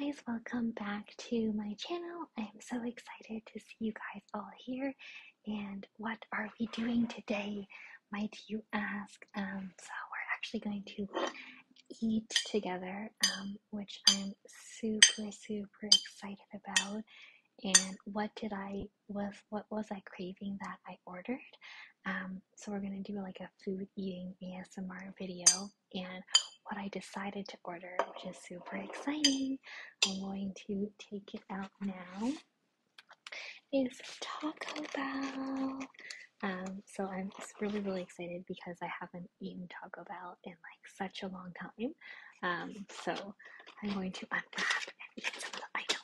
guys, welcome back to my channel. I am so excited to see you guys all here. And what are we doing today, might you ask? Um, so, we're actually going to eat together, um, which I'm super, super excited about. And what did I was what was I craving that I ordered? Um, so we're gonna do like a food eating ASMR video and what I decided to order, which is super exciting. I'm going to take it out now. It's Taco Bell. Um, so I'm really, really excited because I haven't eaten Taco Bell in like such a long time. Um, so I'm going to unwrap and eat some of the items.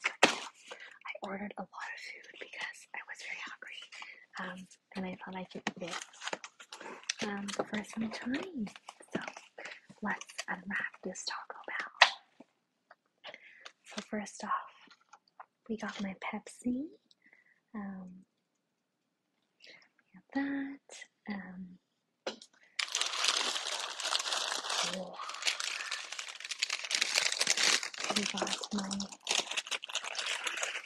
I ordered a lot of food because I was very hungry. Um, and I thought I could this um, for some time. So let's unwrap this Taco Bell. So first off, we got my Pepsi. Um, that. Um, we got my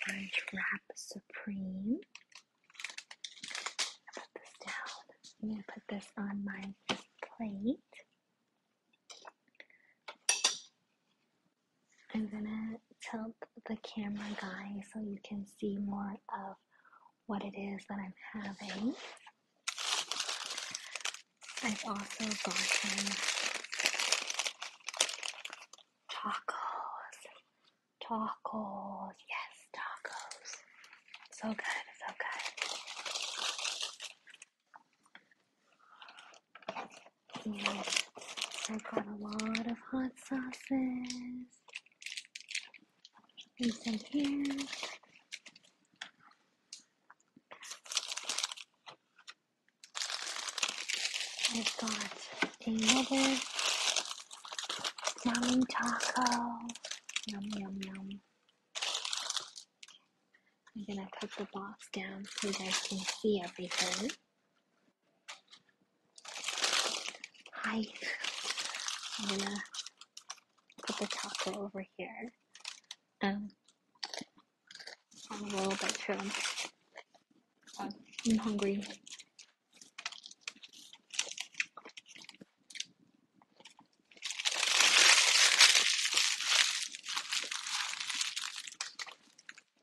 French grab Supreme. Put this down. I'm going to put this on my plate. I'm gonna tilt the camera guy so you can see more of what it is that I'm having. I've also gotten tacos Tacos. Yes, tacos. So good, so good. Yes. i got a lot of hot sauces. And some here. i got another yummy taco. Yum, yum, yum. I'm gonna put the box down so you guys can see everything. Hi. I'm gonna put the taco over here. Um, I'm a little bit too. Um, I'm hungry.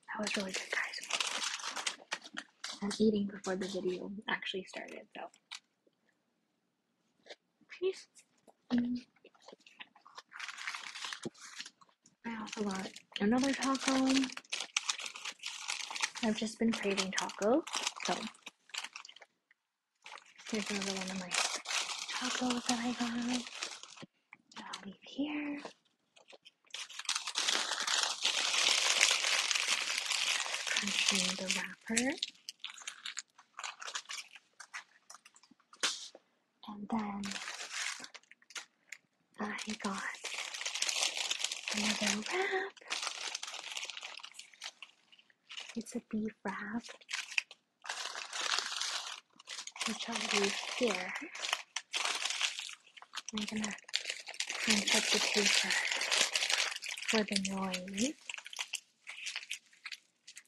That was really good, guys. I'm eating before the video actually started, so. Peace. I also got Another taco. I've just been craving taco, so here's another one of my tacos that I got. I'll leave here. Crunching the wrapper. And then I got another wrap. It's a beef wrap, which I'll leave here. I'm gonna uncut the paper for the noise.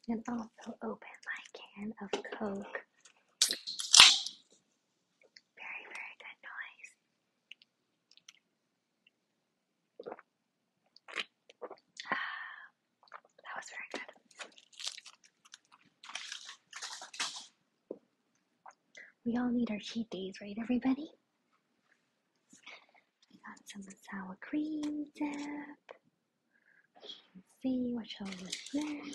And also open my can of Coke. Very, very good noise. Ah, that was very good. We all need our cheat days, right, everybody? I got some sour cream dip. Let's see what shall we doing.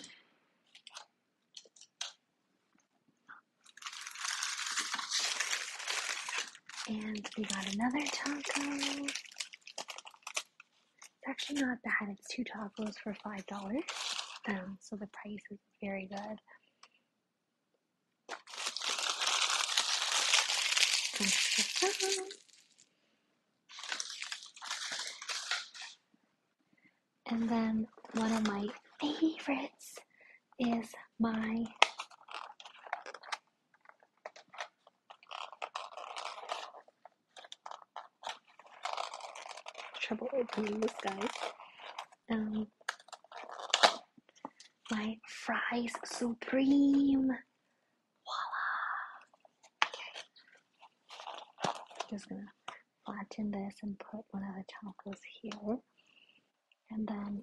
And we got another taco. It's actually not bad. It's two tacos for five dollars. Um, so the price is very good. And then one of my favorites is my trouble opening this guy. Um my fries supreme voila. Okay. Just gonna flatten this and put one of the chocolates here. And then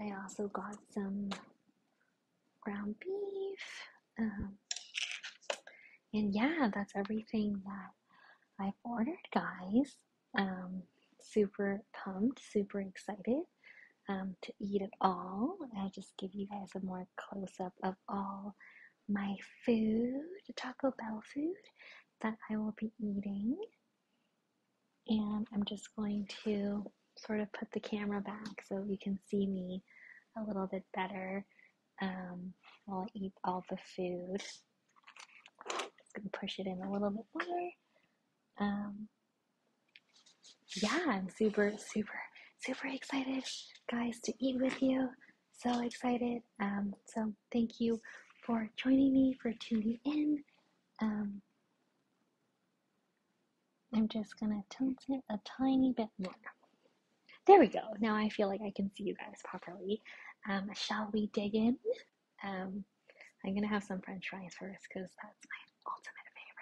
I also got some ground beef. Um, and yeah, that's everything that I've ordered, guys. Um, super pumped, super excited um, to eat it all. I'll just give you guys a more close up of all my food, Taco Bell food that I will be eating. And I'm just going to sort of put the camera back so you can see me a little bit better um, while I eat all the food. Just gonna push it in a little bit more. Um, yeah, I'm super, super, super excited, guys, to eat with you. So excited. Um, so thank you for joining me, for tuning in. Um, I'm just gonna tilt it a tiny bit more. There we go. Now I feel like I can see you guys properly. Um, shall we dig in? Um, I'm gonna have some French fries first because that's my ultimate favorite.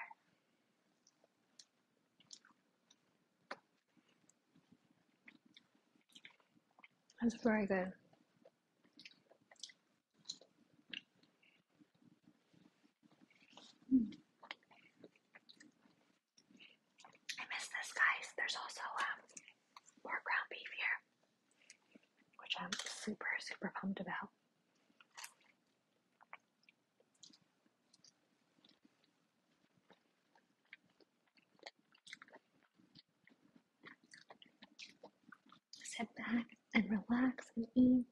That's very good. I miss this, guys. There's also um, more ground beef here, which I'm super, super pumped about. Sit back and relax and eat.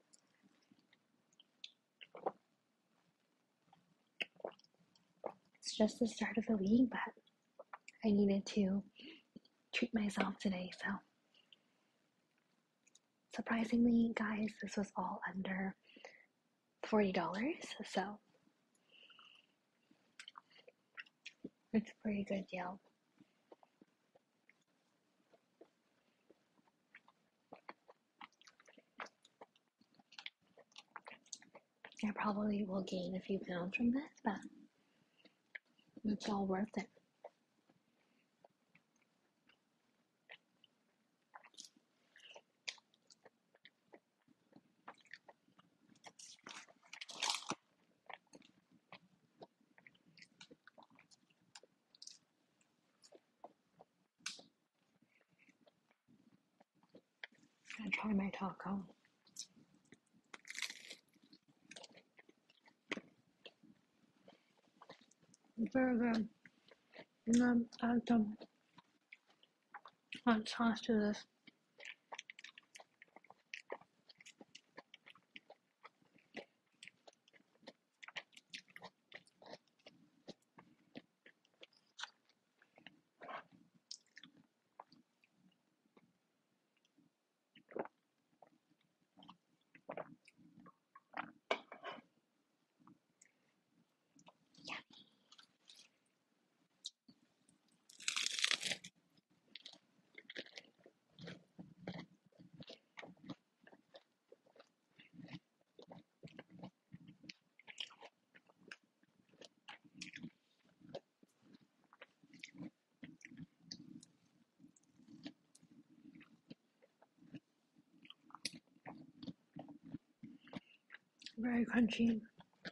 It's just the start of the week, but I needed to treat myself today, so. Surprisingly, guys, this was all under $40, so it's a pretty good deal. I probably will gain a few pounds from this, but it's all worth it. I to try my taco. It's very good. You know, add what sauce do this? Very crunchy.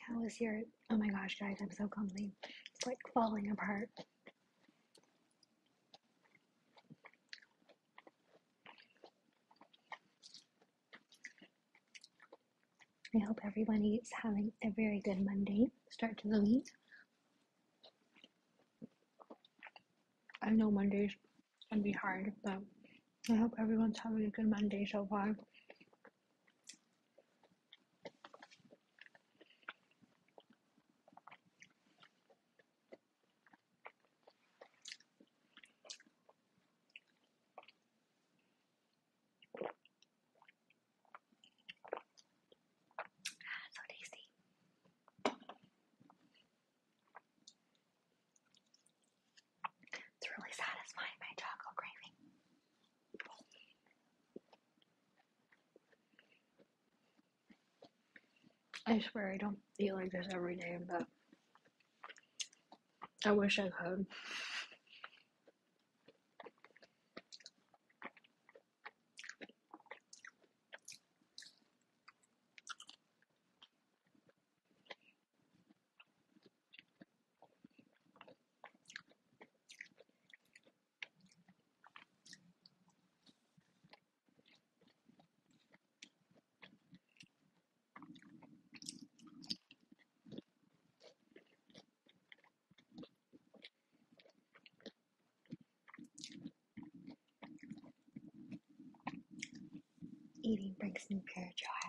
How was your? Oh my gosh, guys, I'm so clumsy. It's like falling apart. I hope everybody is having a very good Monday start to the week. I know Mondays can be hard, but I hope everyone's having a good Monday so far. So tasty. It's really satisfying my chocolate craving. I swear I don't eat like this every day, but I wish I could. Eating brings me pure joy.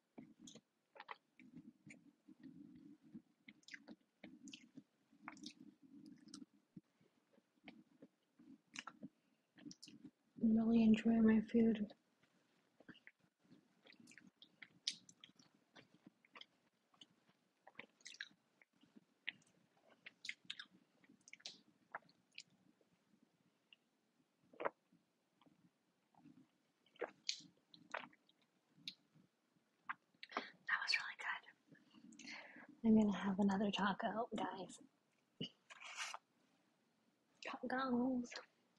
really enjoy my food. That was really good. I'm gonna have another taco, guys. Tacos.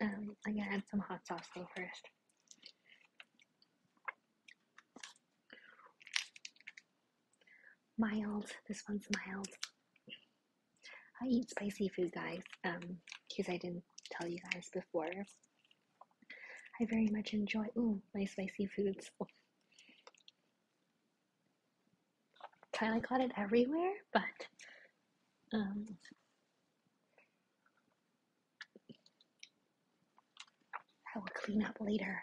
Um, I'm gonna add some hot sauce though first. Mild. This one's mild. I eat spicy food, guys, um, because I didn't tell you guys before. I very much enjoy, ooh, my spicy foods. Oh. Kind of got it everywhere, but, um, I will clean up later.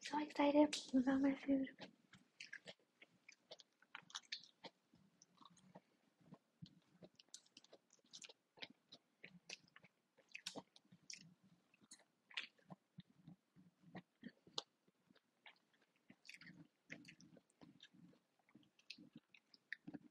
So excited about my food.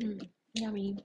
Mmm, yummy.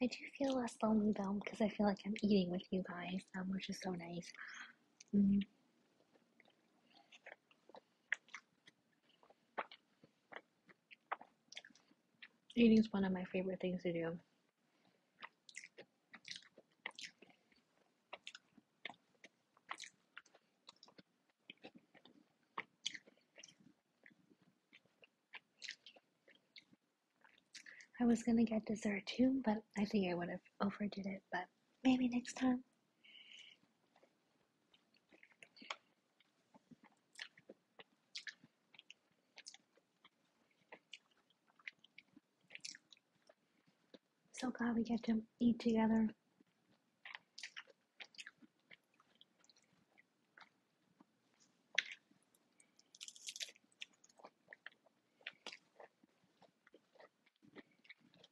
I do feel less lonely though because I feel like I'm eating with you guys, um, which is so nice. Mm-hmm. Eating is one of my favorite things to do. I was gonna get dessert too, but I think I would have overdid it, but maybe next time. So glad we get to eat together.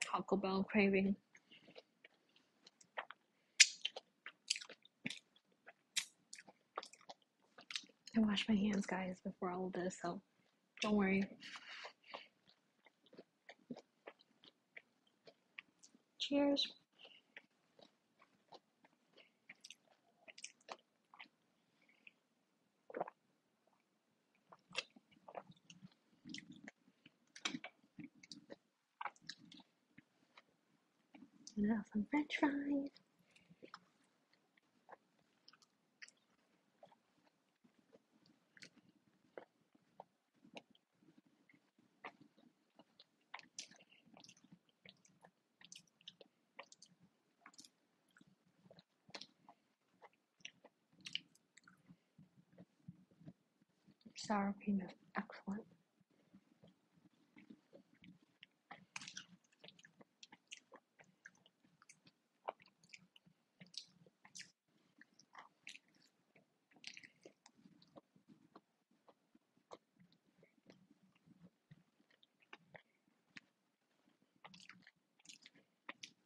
Taco Bell craving. I washed my hands, guys, before all of this, so don't worry. Cheers. And now some french fries sour peanuts, excellent.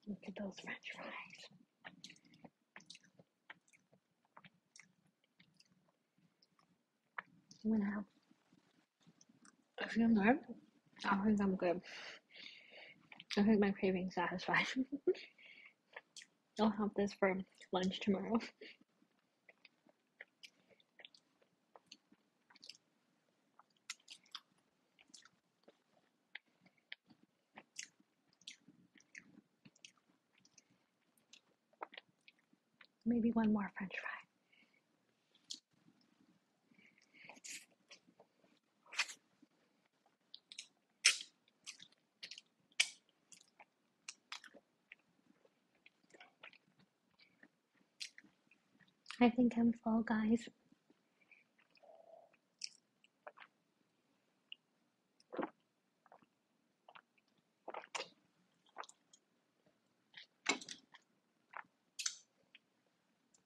Look at those french fries. Wow. I feel good. I think I'm good. I think my craving satisfied. I'll have this for lunch tomorrow. Maybe one more french fry. I think I'm full, guys.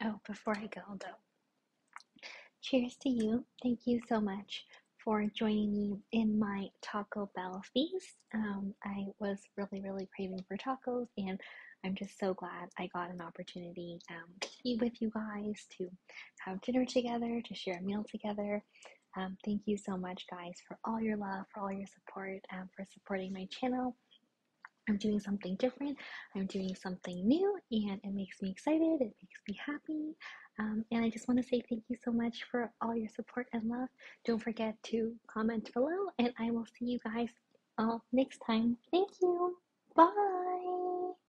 Oh, before I go though, cheers to you. Thank you so much for joining me in my Taco Bell feast. Um, I was really, really craving for tacos, and I'm just so glad I got an opportunity um, to be with you guys too have dinner together, to share a meal together. Um, thank you so much, guys, for all your love, for all your support, um, for supporting my channel. I'm doing something different. I'm doing something new, and it makes me excited. It makes me happy. Um, and I just want to say thank you so much for all your support and love. Don't forget to comment below, and I will see you guys all next time. Thank you. Bye.